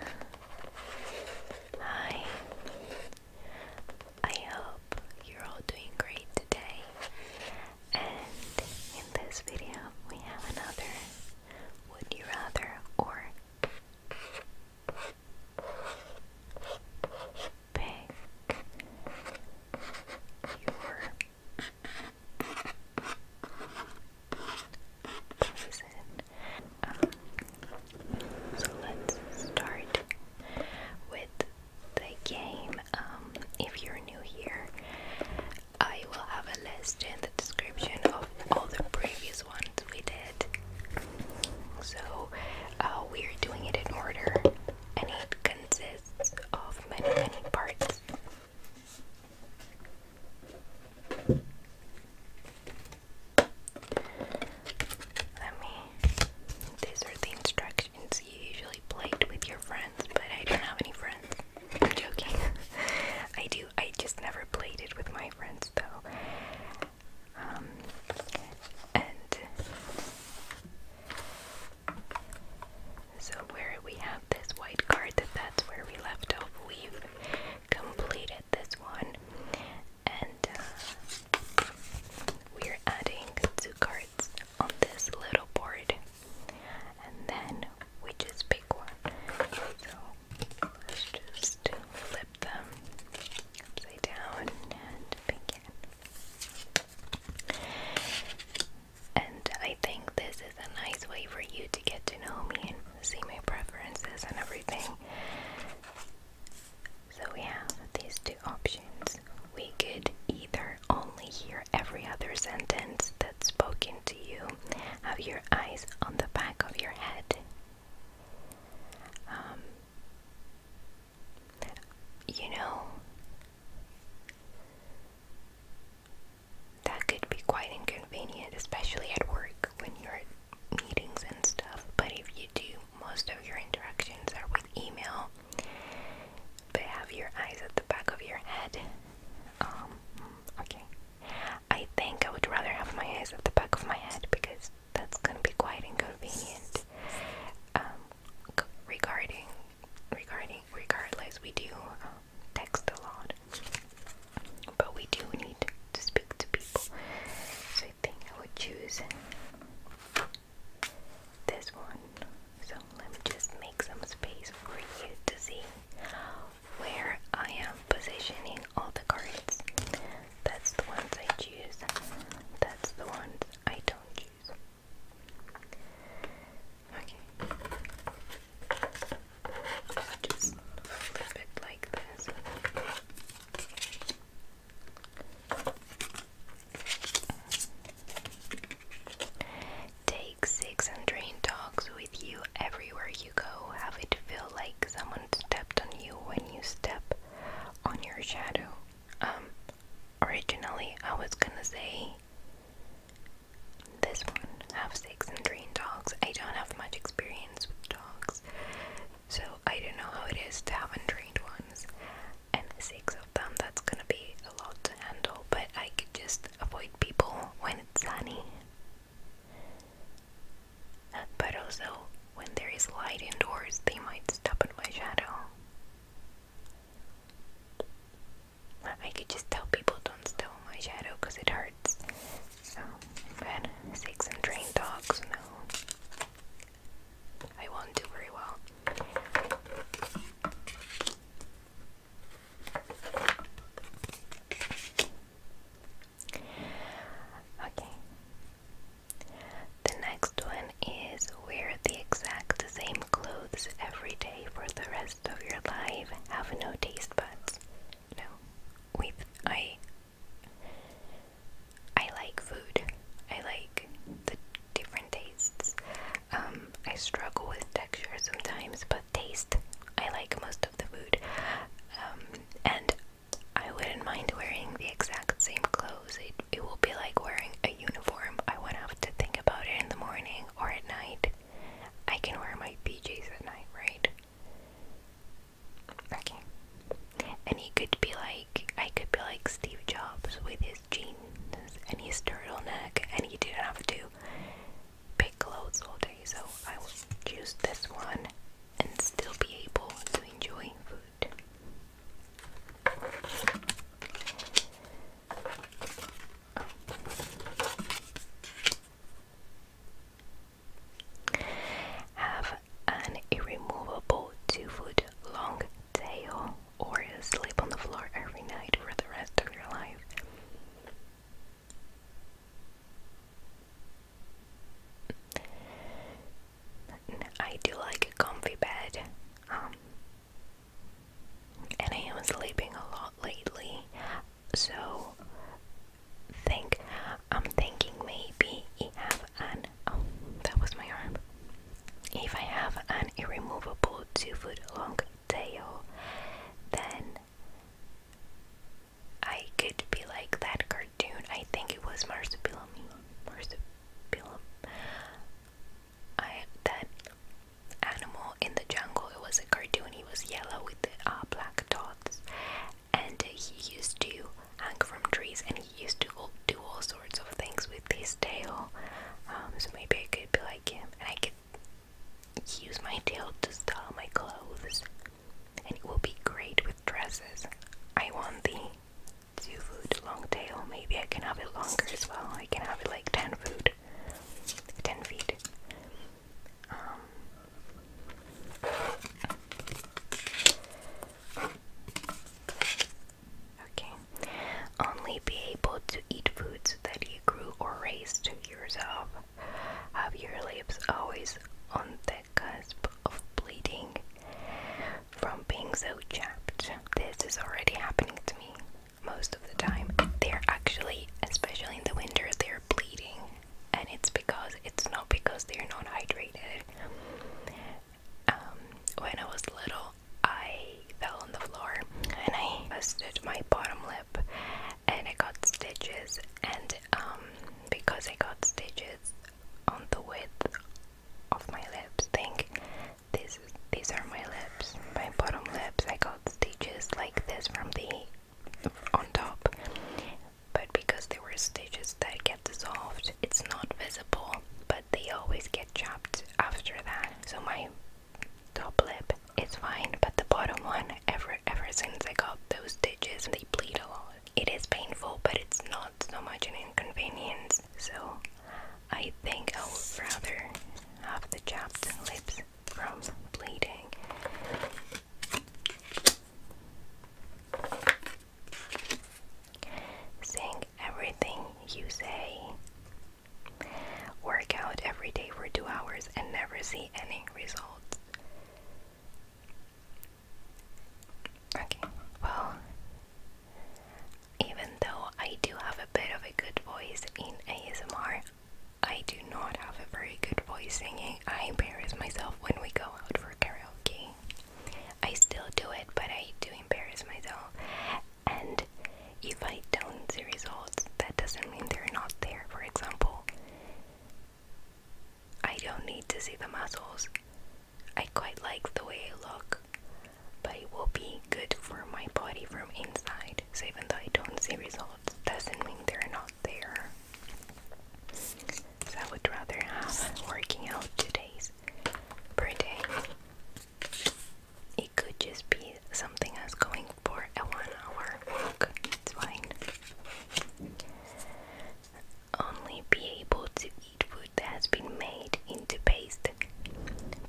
Hi, I hope you're all doing great today. And in this video, we have another Would You Rather or Pick Your um, so let's start with the game. Um, if you're new here, I will have a list in the description of all the previous ones we did. So uh, we're doing it in order, and it consists of many, many parts. Let me. These are the instructions you usually played with your friends, but I don't have any friends. I'm joking. I do. I just never played it with my friends, though. Um, and so where we have this white card, that that's where we left off. We've completed this one, and uh, we're adding two cards on this little board, and then we just pick one. So let's just flip them upside down and begin. And I think this is a nice way for you to get to know me and see my preferences and everything. So we have these two options. We could either only hear every other sentence that's spoken to you, have your eyes on the back of your head. Um, you know, that could be quite inconvenient, especially at work when you're meetings and stuff, but if you do, most of your interactions are with email. have your eyes at the back of your head. Um, okay. I think I would rather have my eyes at the back of my head because that's gonna be quite inconvenient. Um, regarding, regarding, regardless, we do uh, text a lot but we do need to speak to people. So I think I would choose this one. So let me just make some space for you to see where I am positioning all the cards. That's the ones I choose. That's the ones I don't choose. Okay just flip it like this. Take six and train dogs with you everywhere you go. Have it feel like someone stepped on you when you step on your shadow. Um, originally I was gonna say this one, have six and train dogs. I don't have much experience with dogs, so I don't know how it is to have untrained ones. And six of them, that's gonna be a lot to handle, but I could just avoid people when it's sunny. But also, when there is light indoors, they might step in my shadow. I could just tell people don't step on my shadow because it hurts. So, bad. Six and train dogs, no. I won't do very well. Okay. The next one is wear the exact same clothes every day for the rest of your life. Have no taste buds. No. With I I like food. I like the different tastes. Um, I struggle with texture sometimes, but taste, I like most of the food. Um, and I wouldn't mind wearing the exact same clothes. It, it will be like wearing a uniform. I won't have to think about it in the morning or at night. I can wear my PJs at night, right? Okay. And he could be like, I could be like Steve Jobs with his jeans and his turtleneck, and he didn't have to pick clothes all day, so I will choose this one and still be able to enjoy food have an irremovable two foot long tail or sleep on the floor every night for the rest of your life. I do like a comfy bed, um, and I am sleeping a lot lately, so think I'm thinking maybe I have an oh that was my arm. If I have an irremovable two foot long tail, then I could be like that cartoon. I think it was Marsupilami. Marsupilam. I that animal in the jungle. It was a cartoon. He was yellow with the uh, black dots, and he used to hang from trees and he used to do all sorts of things with his tail. Um, so maybe I could be like him and I could use my tail to style my clothes, and it will be great with dresses. I want the two foot long tail. Maybe I can have it longer as well. I can have it like 10 foot, 10 feet. Um, Okay. Only be able to eat foods that you grew or raised yourself. Have your lips always on the cusp of bleeding from being so chapped. This is already happening to me most of the time. They're actually, especially in the winter, they're bleeding and it's because it's not because they're not hydrated. Um, when I was little, I fell on the floor and I busted my bottom lip, and I got stitches. And um, because I got stitches on the width of my lips, think this these are my lips, my bottom lips. I got stitches like this from the on top but because there were stitches that get dissolved it's not visible but they always get chapped after that so my top lip is fine but the bottom one ever ever since I got those stitches they bleed a lot it is painful but it's not so much an inconvenience so I think I would rather have the chapped lips from bleeding Think everything you say. Work out every day for two hours and never see any results. Okay, well, even though I do have a bit of a good voice in ASMR, I do not have a very good voice singing. I, embarrass myself when we go out for karaoke. I still do it, but I do embarrass myself. And if I don't see results, that doesn't mean they're not there. For example, I don't need to see the muscles. I quite like the way it looks, but it will be good for my body from inside. So even though I don't see results, doesn't mean they're not there. I would rather have working out two days per day. It could just be something as going for a one hour walk, it's fine. Only be able to eat food that has been made into paste,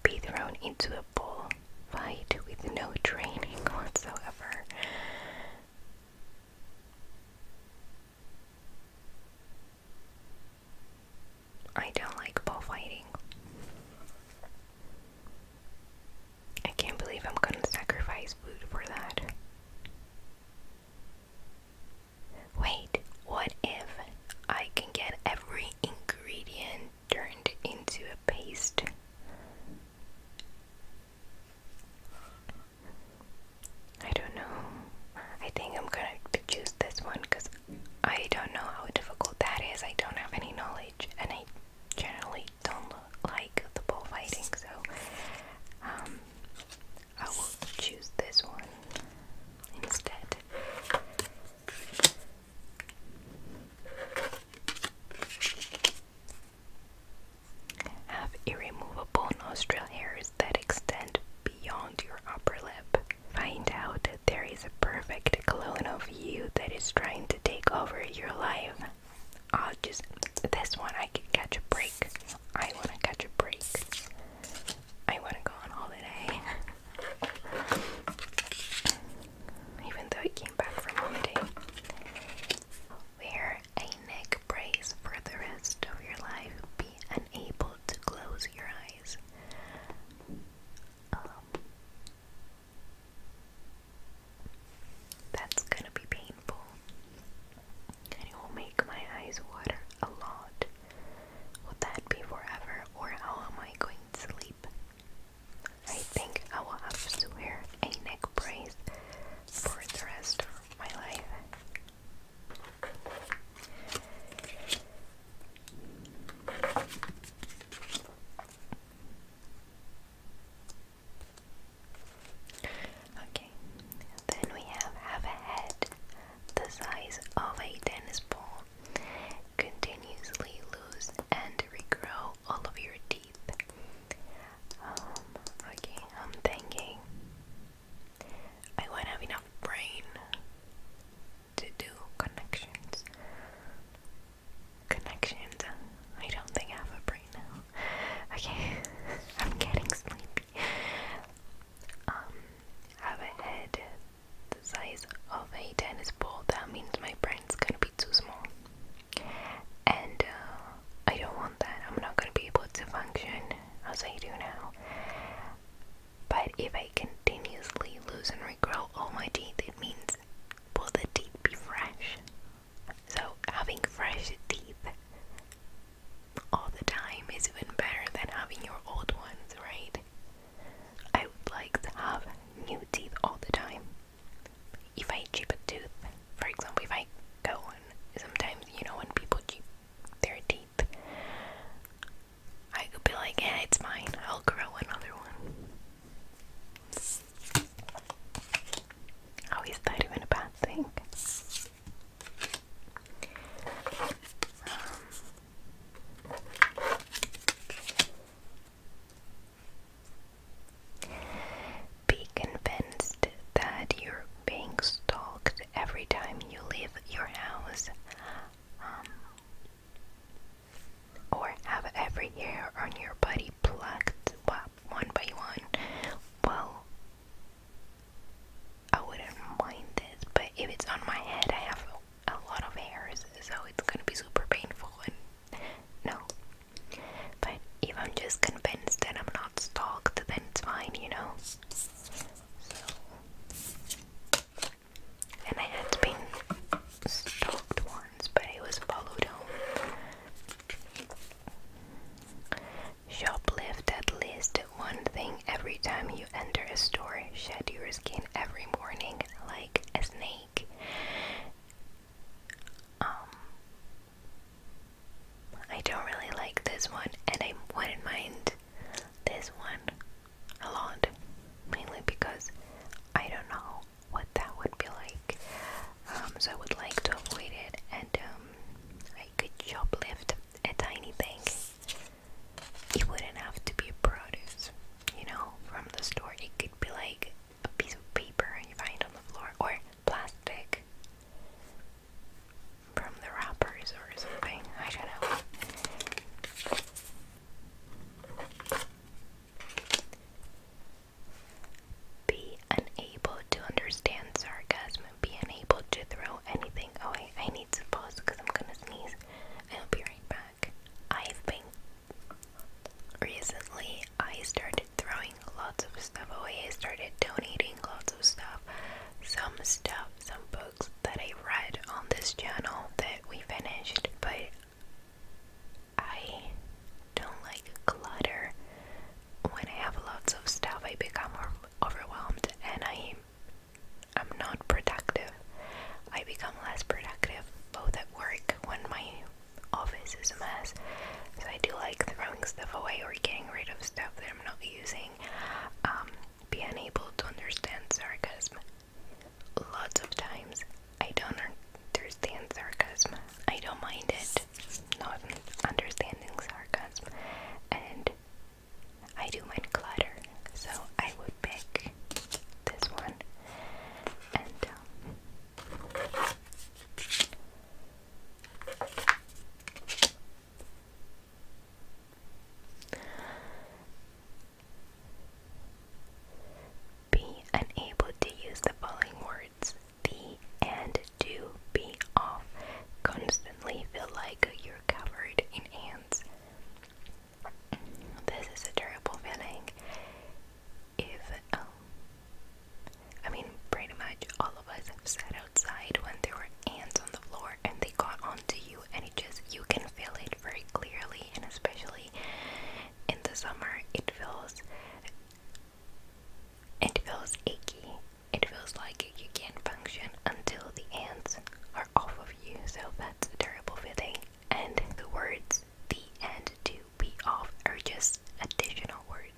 be thrown into a bowl, fight with no training whatsoever. I don't like bullfighting. I can't believe I'm gonna sacrifice food for that. Wait, what if I can get every ingredient turned into a paste? I don't know. I think I'm gonna choose this one because I don't know how difficult that is. I don't have any knowledge, and I generally don't like the bullfighting, so um, I will choose this one instead. Have irremovable nostril hairs that extend beyond your upper lip. Find out that there is a perfect clone of you that is trying to take over your life. I'll just. This one I can catch a break. I wanna catch a break. I wanna go on holiday. Even though I came back from holiday. Wear a neck brace for the rest of your life. Be unable to close your eyes. Um, that's gonna be painful. And it will make my eyes water a lot. Will that be forever, or how am I going to sleep? I think I will have to wear a neck brace for the rest of my life. Okay, then we have have a head the size of a tennis ball. Continuously lose and regrow all of your teeth. Um, okay, I'm thinking I won't have enough brain to do connections. Connections. I don't think I have a brain now. Okay, I'm getting sleepy. Um, have a head the size of a tennis ball. That means my brain's gonna be too small. And uh, I don't want that. I'm not going to be able to function as I do now. But if I continuously lose and regrow all my teeth, it means will the teeth be fresh? So having fresh teeth all the time is even better than having your old ones, right? I would like to have new teeth all the time. If I chip a tooth, for example, if I go and sometimes you know when people 13th. I could be like, yeah, it's mine. I'll grow another one. How oh, is that even a bad thing? Um, be convinced that you're being stalked every time you leave your house. Um, or have every hair on your body plucked one by one. Well, I wouldn't mind this, but if it's on my head, I have a lot of hairs, so it's gonna be super painful. And no, but if I'm just convinced that I'm not stalked, then it's fine, you know. So. And I had been stalked once, but I was followed home. Shoplift at least one thing every time you enter a store. Shed your skin every morning like a snake. Um, I don't really like this one, and I wouldn't mind this one a lot, mainly because I don't know what that would be like. Um, so I would like to avoid it, and um, I could shoplift a tiny thing. It wouldn't have to be a produce, you know, from the store. It could be like a piece of paper you find on the floor, or plastic from the wrappers or something. I don't know. Be unable to understand sarcasm. Be unable to throw anything away. I need to pause because I'm gonna sneeze. I'll be right back. I've been recently. I started throwing lots of stuff away. I started donating lots of stuff some stuff, some books that I read on this channel that we finished, but I don't like clutter. When I have lots of stuff, I become overwhelmed and I I'm not productive. I become less productive both at work when my office is a mess. So I do like throwing stuff away or getting rid of stuff that I'm not using saying um, unable to understand sarcasm. Lots of times I don't understand sarcasm. I don't mind it, not understanding sarcasm. And I do mind clutter, so I would pick this one. And um, be unable to use the following words the and do be off. Constantly feel like you're covered in ants. This is a terrible feeling. If, um, I mean, pretty much all us have sat outside when there were ants on the floor and they got onto you, and it just, you can feel it very clearly, and especially in the summer, it feels, it feels achy. It feels like you can't function until the ants are off of you, so that's a terrible feeling. And the words the and to be off are just additional words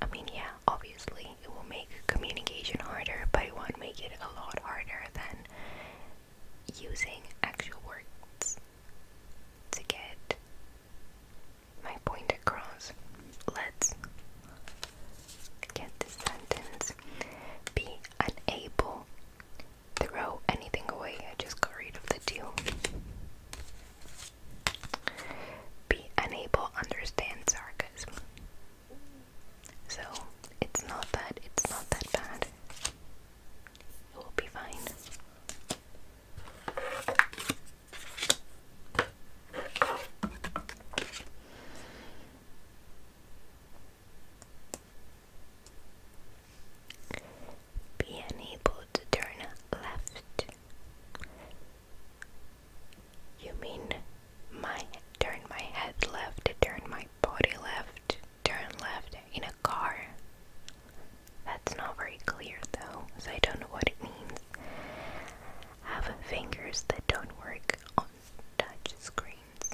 I mean, yeah, obviously it will make communication harder, but it won't make it a lot harder than using actual words to get my point across. Let's get this sentence. Be unable. Throw anything away. I just got rid of the two. Be unable understand sarcasm. So it's not that it's not that bad. It will be fine. Be unable to turn left. You mean my turn my head left, turn my body left, turn left in a car? That's not very clear though, so I don't know what it means. Have fingers that don't work on touch screens.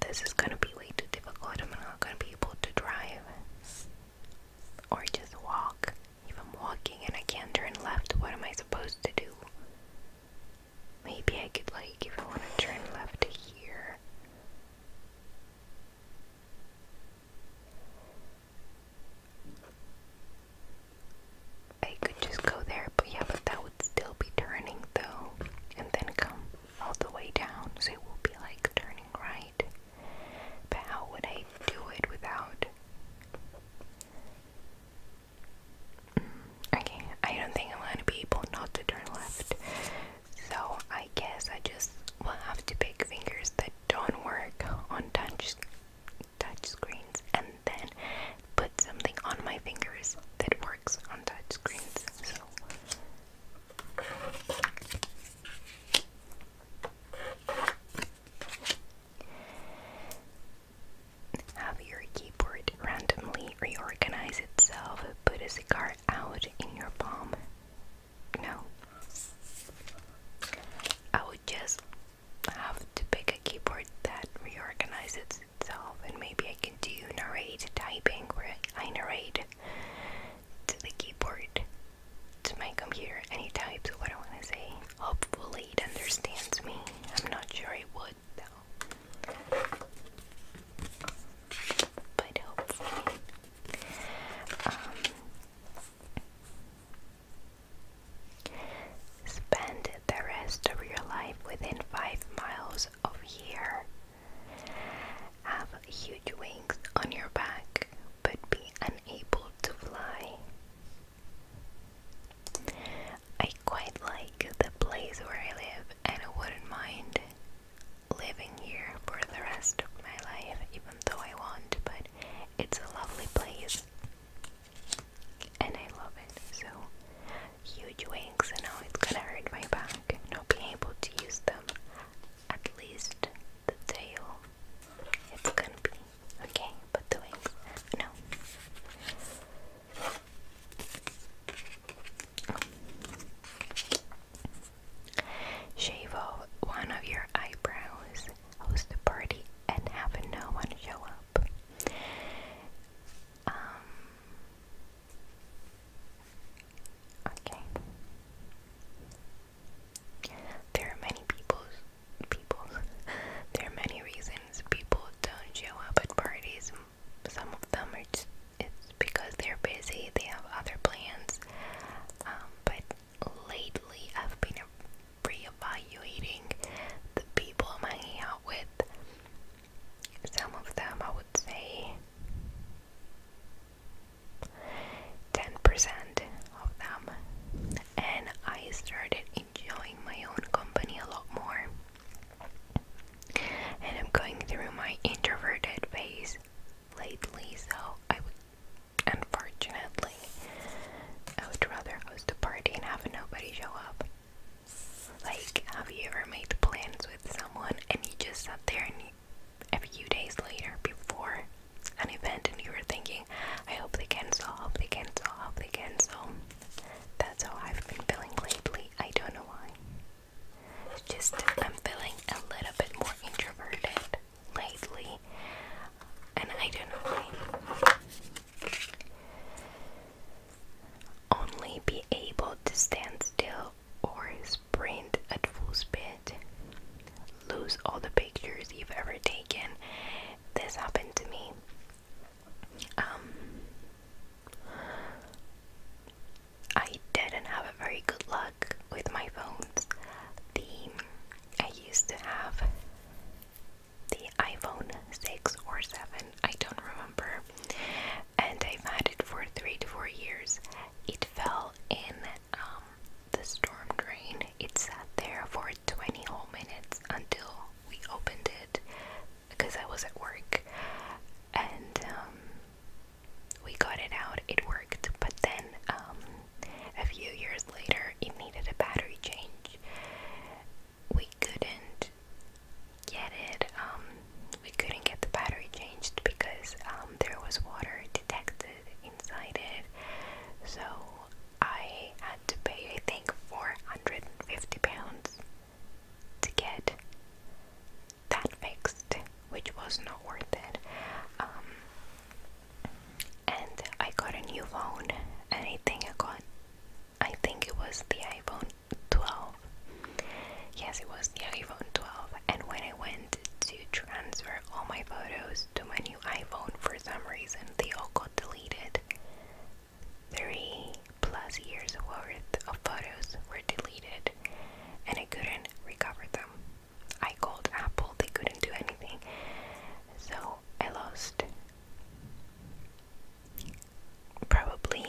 This is gonna be way too difficult. I'm not gonna be able to drive or just walk. If I'm walking and I can't turn left, what am I supposed to do? Maybe I could, like, if I want to turn left here. I could just go there, but yeah, but that would still be turning though, and then come all the way down, so it will be like turning right. But how would I do it without Okay, I don't think I'm gonna be able not to turn left. So I guess I just will have to pick fingers that don't work on touch touch screens and then put something on my fingers that works on touch screens. So have your keyboard randomly reorganize itself. Put a cigar out in your palm. No. I would just have to pick a keyboard that reorganizes itself, and maybe I can do narrate typing where I narrate to the keyboard, to my computer, and it types what I want to say. Hopefully. He understands me. I'm not sure he would, though. But hopefully. Um, spend the rest of your life within five miles of here. Have huge wings on your back, but be unable to fly. I quite like the place where I live and I wouldn't mind living here for the rest of my life, even though I want, but it's a lovely place and I love it. So, huge wings, and now it's gonna hurt my back not being able to use them. At least the tail, it's gonna be Okay, put the wings. No. Shave off one of your eyebrows, host a party, and have no one show up. Um. Okay. There are many people people. there are many reasons people don't show up at parties. Some of them are just, it's because they're busy, they have other plans. Um, but lately, I've been reevaluating the people I'm hanging out with. Some of them, I would say, 10% of them. And I started enjoying my own company a lot more. And I'm going through my introverted phase lately, so I would, unfortunately, I would rather host a party and have nobody show up. Like, have you ever made plans with someone and you just sat there and a few days later before an event and you were thinking, I hope they cancel, I hope they cancel, I hope they cancel. That's how I've been feeling lately. I don't know why. just I'm feeling a little bit more introverted lately, and I don't know why. Only be able to stand still or sprint at full speed. Lose all the pictures you've ever taken. This happened to me. Um, I didn't have a very good luck with my phones. The I used to have the iPhone 6 or 7, I don't remember, and I've had it for 3 to 4 years. It fell in um, the storm drain. It sat there for 20 whole minutes until we opened it because I was at work and um, we got it out, it worked, but then um, a few years later it needed a battery change. We couldn't get it, um, we couldn't get the battery changed because there was water detected inside it, so I had to pay, I think, 450 pounds to get that fixed, which was not worth it. Um, and I got a new phone, Anything I got, I think it was the iPhone 12. Yes, it was the iPhone 12. And when I went to transfer all my photos to my new iPhone, for some reason they all got deleted. Three plus years worth of photos were deleted and I couldn't recover them. I called Apple, they couldn't do anything. So I lost probably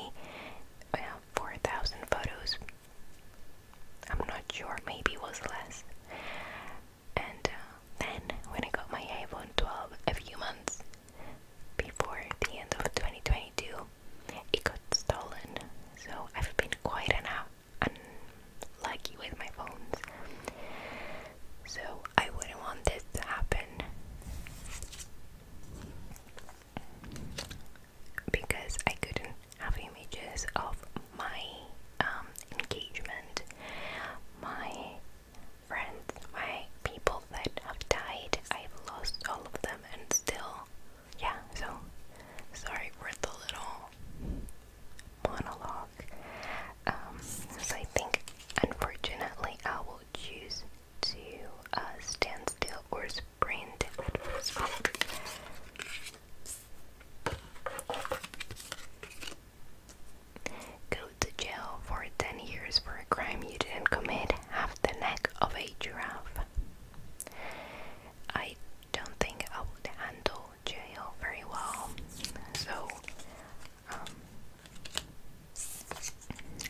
uh, 4,000 photos. I'm not sure, maybe it was less. And uh, then when I got my iPhone 12 a few months before the end of 2022, it got stolen. So I've been quite an unlucky with my phones. So I wouldn't want this to happen because I couldn't have images of my um, engagement, my friends, my people that have died. I've lost all of them and still, yeah, so sorry for the little monologue. Um, so I think unfortunately I will choose to uh, stand still or sprint. sprint. Go to jail for 10 years for a crime you didn't commit, have the neck of a giraffe. I don't think I would handle jail very well, so um,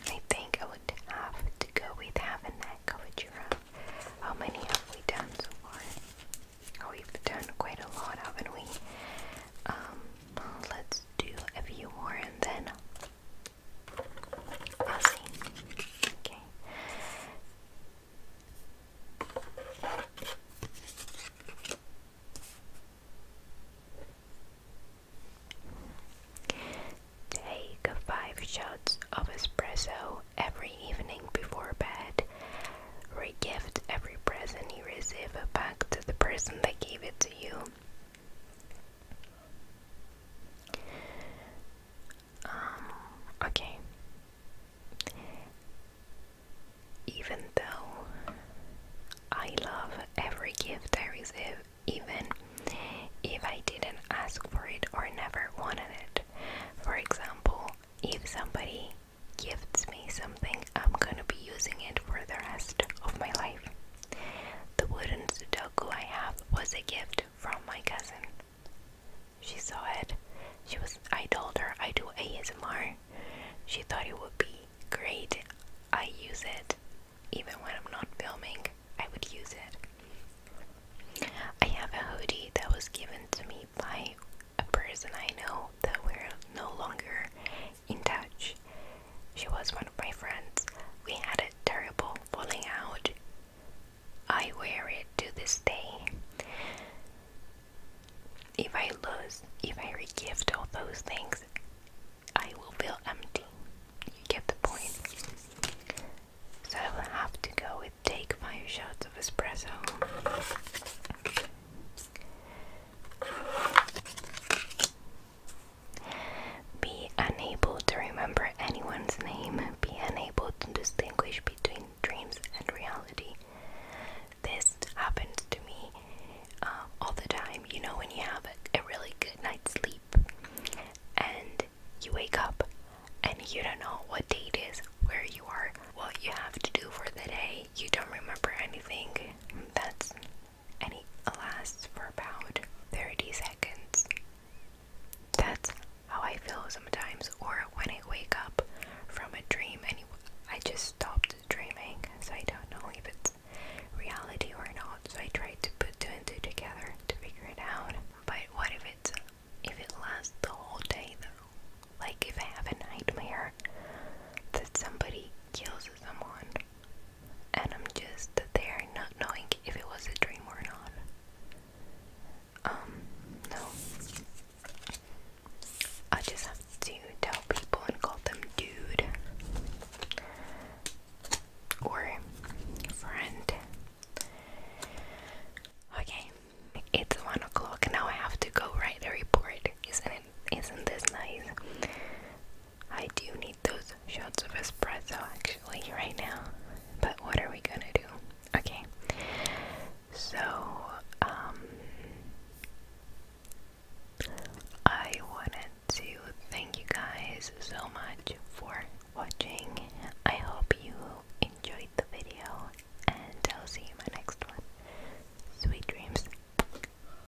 I think I would have to go with half a neck of a giraffe. How many have we done so far? Oh, we've done quite a lot, haven't we? Um, Let's do a few more and then I'll see. Okay. Take five shots of espresso every evening before bed. Regift every present you receive back to the person that gave it to you. Um, okay. Even though I love every gift I receive, even if I didn't ask for it or never wanted it. For example, if somebody gives me something, I'm gonna be using it for the rest of my life. The wooden Sudoku I have was a gift from my cousin. She saw it. She was. I told her I do ASMR. She thought it would be great. I use it even when I'm not filming. I would use it. I have a hoodie that was given to me by a person I know that we're no longer in touch. She was one of my friends. We had a terrible falling out. I wear it to this day. If I lose, if I regift all those things, I will feel empty. You get the point. So I will have to go with take five shots of espresso. Be unable to remember anyone's name. Be unable to distinguish between dreams and reality. This happens to me uh, all the time. You know, when you have a, really good night's sleep and you wake up and you don't know what date is, where you are, what you have to do for the day, you don't remember anything. That's and it lasts for about 30 seconds. That's how I feel sometimes, or when I wake up from a dream and I just stopped dreaming, so I don't know if it's reality or not. So I tried to put two and two together to figure it out. But what if it's if it lasts the whole day though? Like if I have a nightmare that somebody kills someone, and I'm just there not knowing if it was a dream or not. Um, no. I just have to tell people and call them dude or friend. Okay, it's one o'clock now. I have to go write a report. Isn't it? Isn't this nice? I do need those shots of espresso actually right now. But what are we gonna do? Okay. So, um, I wanted to thank you guys so much for watching. I hope you enjoyed the video, and I'll see you in my next one. Sweet dreams.